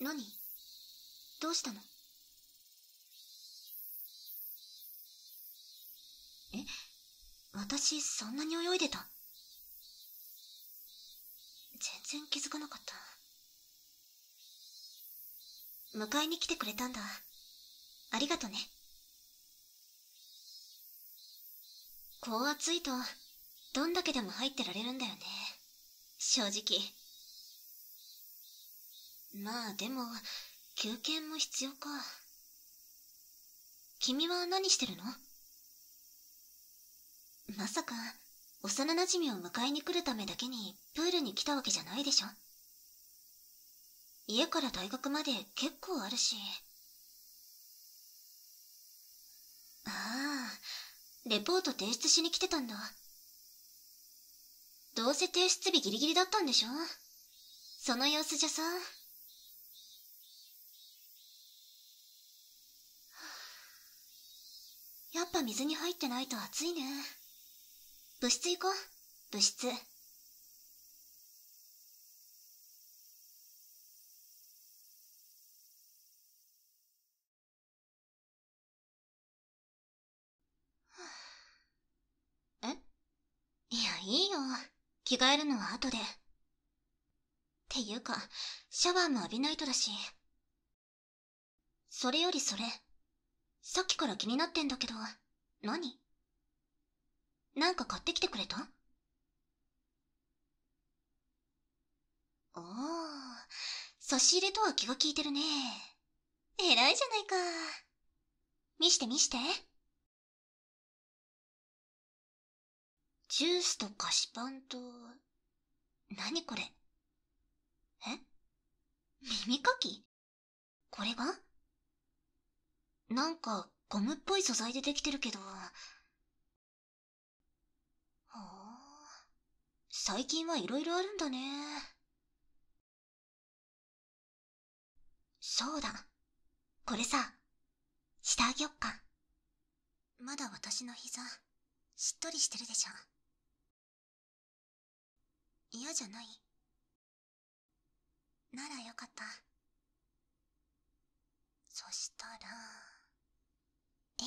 何どうしたのえ私そんなに泳いでた全然気づかなかった迎えに来てくれたんだありがとねこう暑いとどんだけでも入ってられるんだよね正直まあでも休憩も必要か君は何してるのまさか幼なじみを迎えに来るためだけにプールに来たわけじゃないでしょ家から大学まで結構あるしああレポート提出しに来てたんだどうせ提出日ギリギリだったんでしょその様子じゃさ。やっぱ水に入ってないと暑いね。部室行こう、部室。えいや、いいよ。着替えるのは後で。っていうか、シャワーも浴びないとだし。それよりそれ。さっきから気になってんだけど、何なんか買ってきてくれたああ、差し入れとは気が利いてるね。偉いじゃないか。見して見して。ジュースと菓子パンと、何これえ耳かきこれがなんかゴムっぽい素材でできてるけど。はあ、最近はいろいろあるんだね。そうだこれさ下てあよっかまだ私の膝しっとりしてるでしょ嫌じゃないならよかったそしたらえい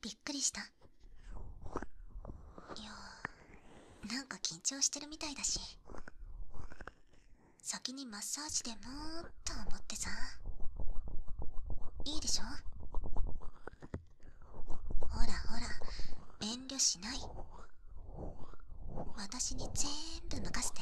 びっくりしたいやなんか緊張してるみたいだし先にマッサージでもっと思ってさいいでしょほらほら遠慮しない私にぜーんぶ任して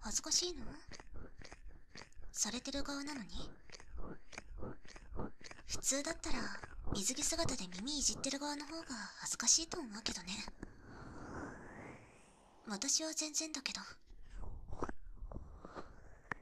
恥ずかしいのされてる側なのに普通だったら水着姿で耳いじってる側の方が恥ずかしいと思うけどね私は全然だけど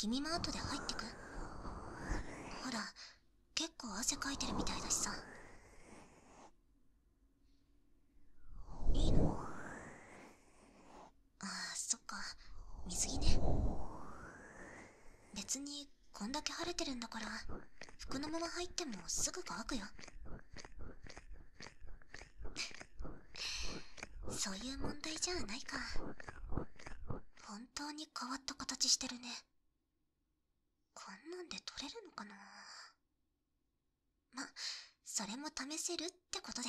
君も後で入ってくほら結構汗かいてるみたいだしさいいのああそっか水着ね別にこんだけ晴れてるんだから服のまま入ってもすぐ乾くよそういう問題じゃないか本当に変わった形してるねこんなんで取れるのかなまそれも試せるってことで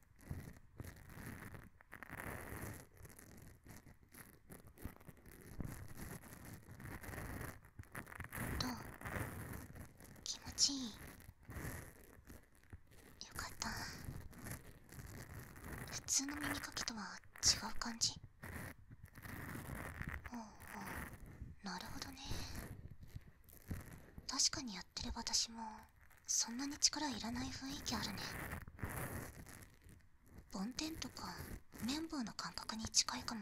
どと。気持ちいいよかった普通の耳かきとは違う感じほうほうなるほどね確かにやってる私もそんなに力いらない雰囲気あるね梵天とか綿棒の感覚に近いかも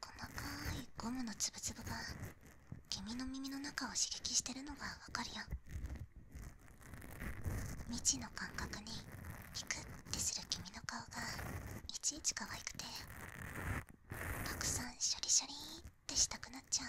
細かいゴムのつぶつぶが君の耳の中を刺激してるのがわかるよ未知の感覚にピクッてする君の顔がいちいち可愛くてたくさんシャリシャリってしたくなっちゃう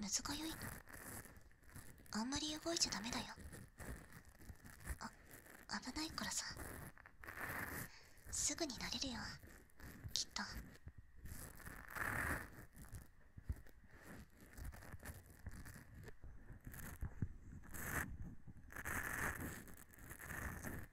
難しいのあんまり動いちゃダメだよ危ないからさすぐになれるよきっと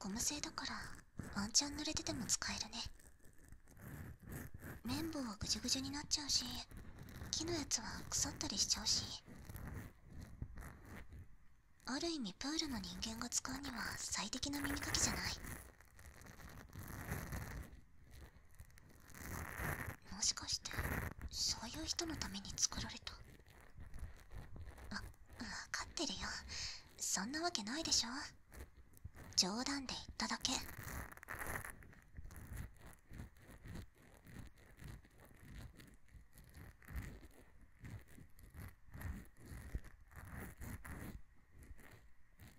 ゴム製だからワンチャン濡れてても使えるね綿棒はぐじゅぐじゅになっちゃうし木のやつは腐ったりしちゃうしある意味プールの人間が使うには最適な耳かきじゃないもしかしてそういう人のために作られたわ分かってるよそんなわけないでしょ冗談で言っただけ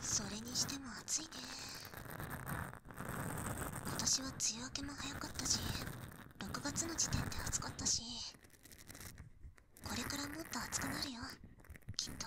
それにしても暑いね今年は梅雨明けも早かったし6月の時点で暑かったしこれからもっと暑くなるよきっと。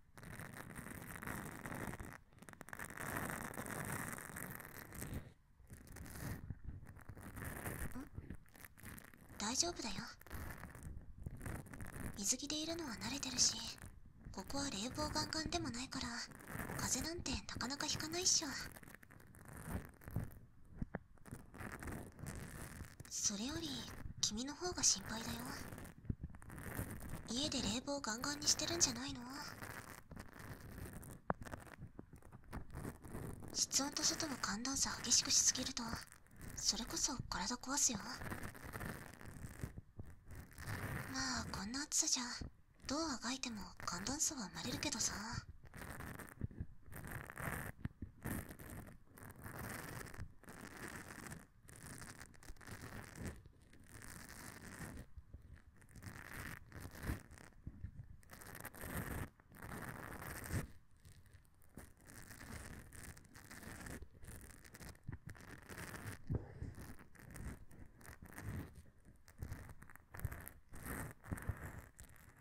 ん。大丈夫だよ水着でいるのは慣れてるしここは冷房ガンガンでもないから風なんてなかなか引かないっしょそれより君の方が心配だよ家で冷房ガンガンにしてるんじゃないの室温と外の寒暖差激しくしすぎるとそれこそ体壊すよまあこんな暑さじゃどうあがいても寒暖差は生まれるけどさ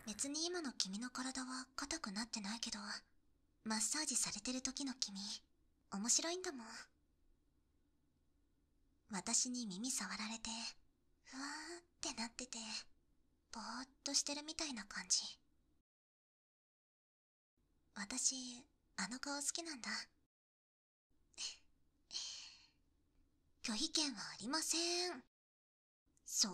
別に今の君の体は硬くなってないけどマッサージされてる時の君面白いんだもん私に耳触られてふわーってなっててぼーっとしてるみたいな感じ私あの顔好きなんだ拒否権はありませんそれ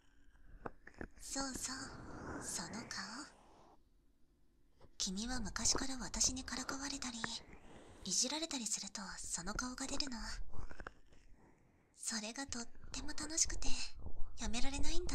そうそうその顔君は昔から私にからかわれたりいじられたりするとその顔が出るのそれがとっても楽しくてやめられないんだ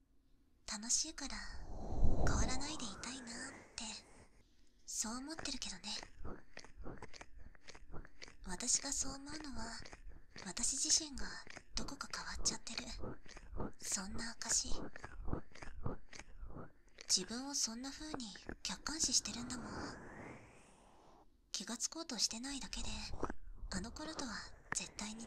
楽しいから変わらないでいたいなってそう思ってるけどね私がそう思うのは私自身がどこか変わっちゃってるそんな証自分をそんな風に客観視してるんだもん気がつこうとしてないだけであの頃とは絶対に違う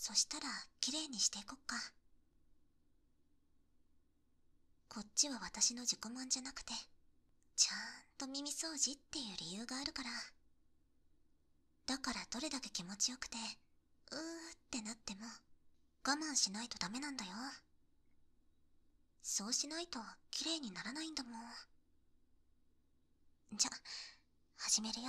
そしたらきれいにしていこっかこっちは私の自己満じゃなくてちゃんと耳掃除っていう理由があるからだからどれだけ気持ちよくてうーってなっても我慢しないとダメなんだよそうしないと綺麗にならないんだもんじゃ始めるよ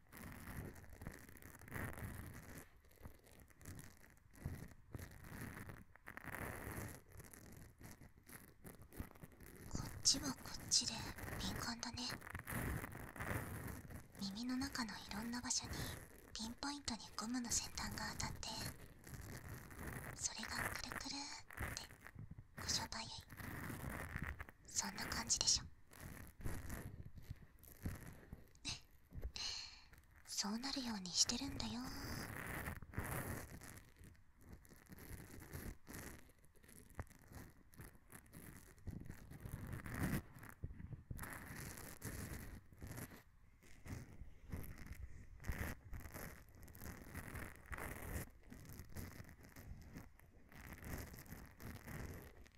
こっちはこっちで敏感だね耳の中のいろんな場所にピンポイントにゴムの先端が当たってそれがくるくるってごしょばゆいそんな感じでしょそうなるようにしてるんだよ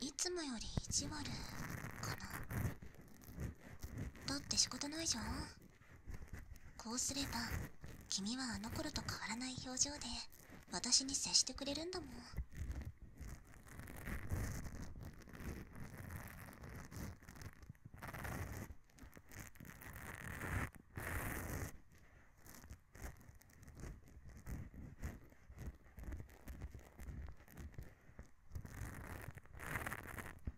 いつもより意地悪かなだって仕方ないじゃんこうすれば君はあの頃と変わらない表情で私に接してくれるんだもん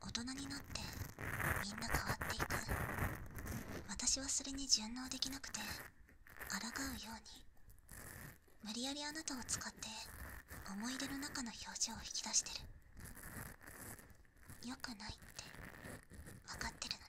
大人になってみんな変わっていく私はそれに順応できなくて抗うように無理やりあなたを使って思い出の中の表情を引き出してるよくないって分かってるのに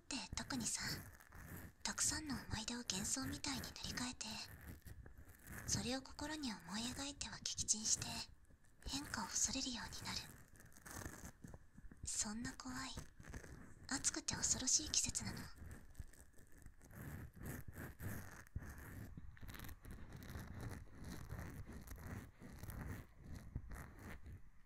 って特にさたくさんの思い出を幻想みたいに塗り替えてそれを心に思い描いては撃沈して変化を恐れるようになるそんな怖い暑くて恐ろしい季節なの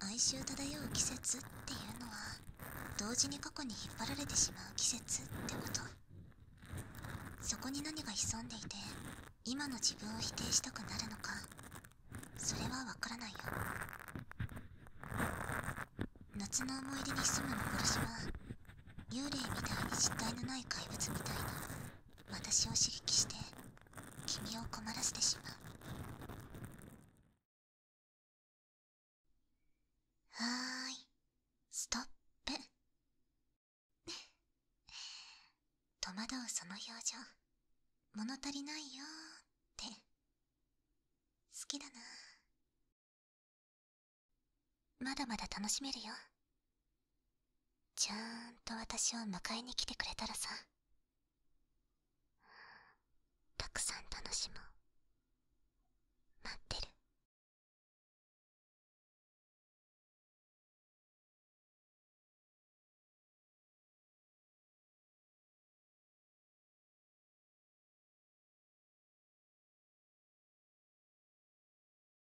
哀愁漂う季節っていうのは同時に過去に引っ張られてしまう季節ってことそこに何が潜んでいて今の自分を否定したくなるのかそれはわからないよ夏の思い出に潜む幻は幽霊みたいに実体のない怪物みたいな私を刺激して君を困らせてしまうはーいストップ戸惑うその表情物足りないよーって好きだなまだまだ楽しめるよちゃんと私を迎えに来てくれたらさたくさん楽しもう待ってるうん。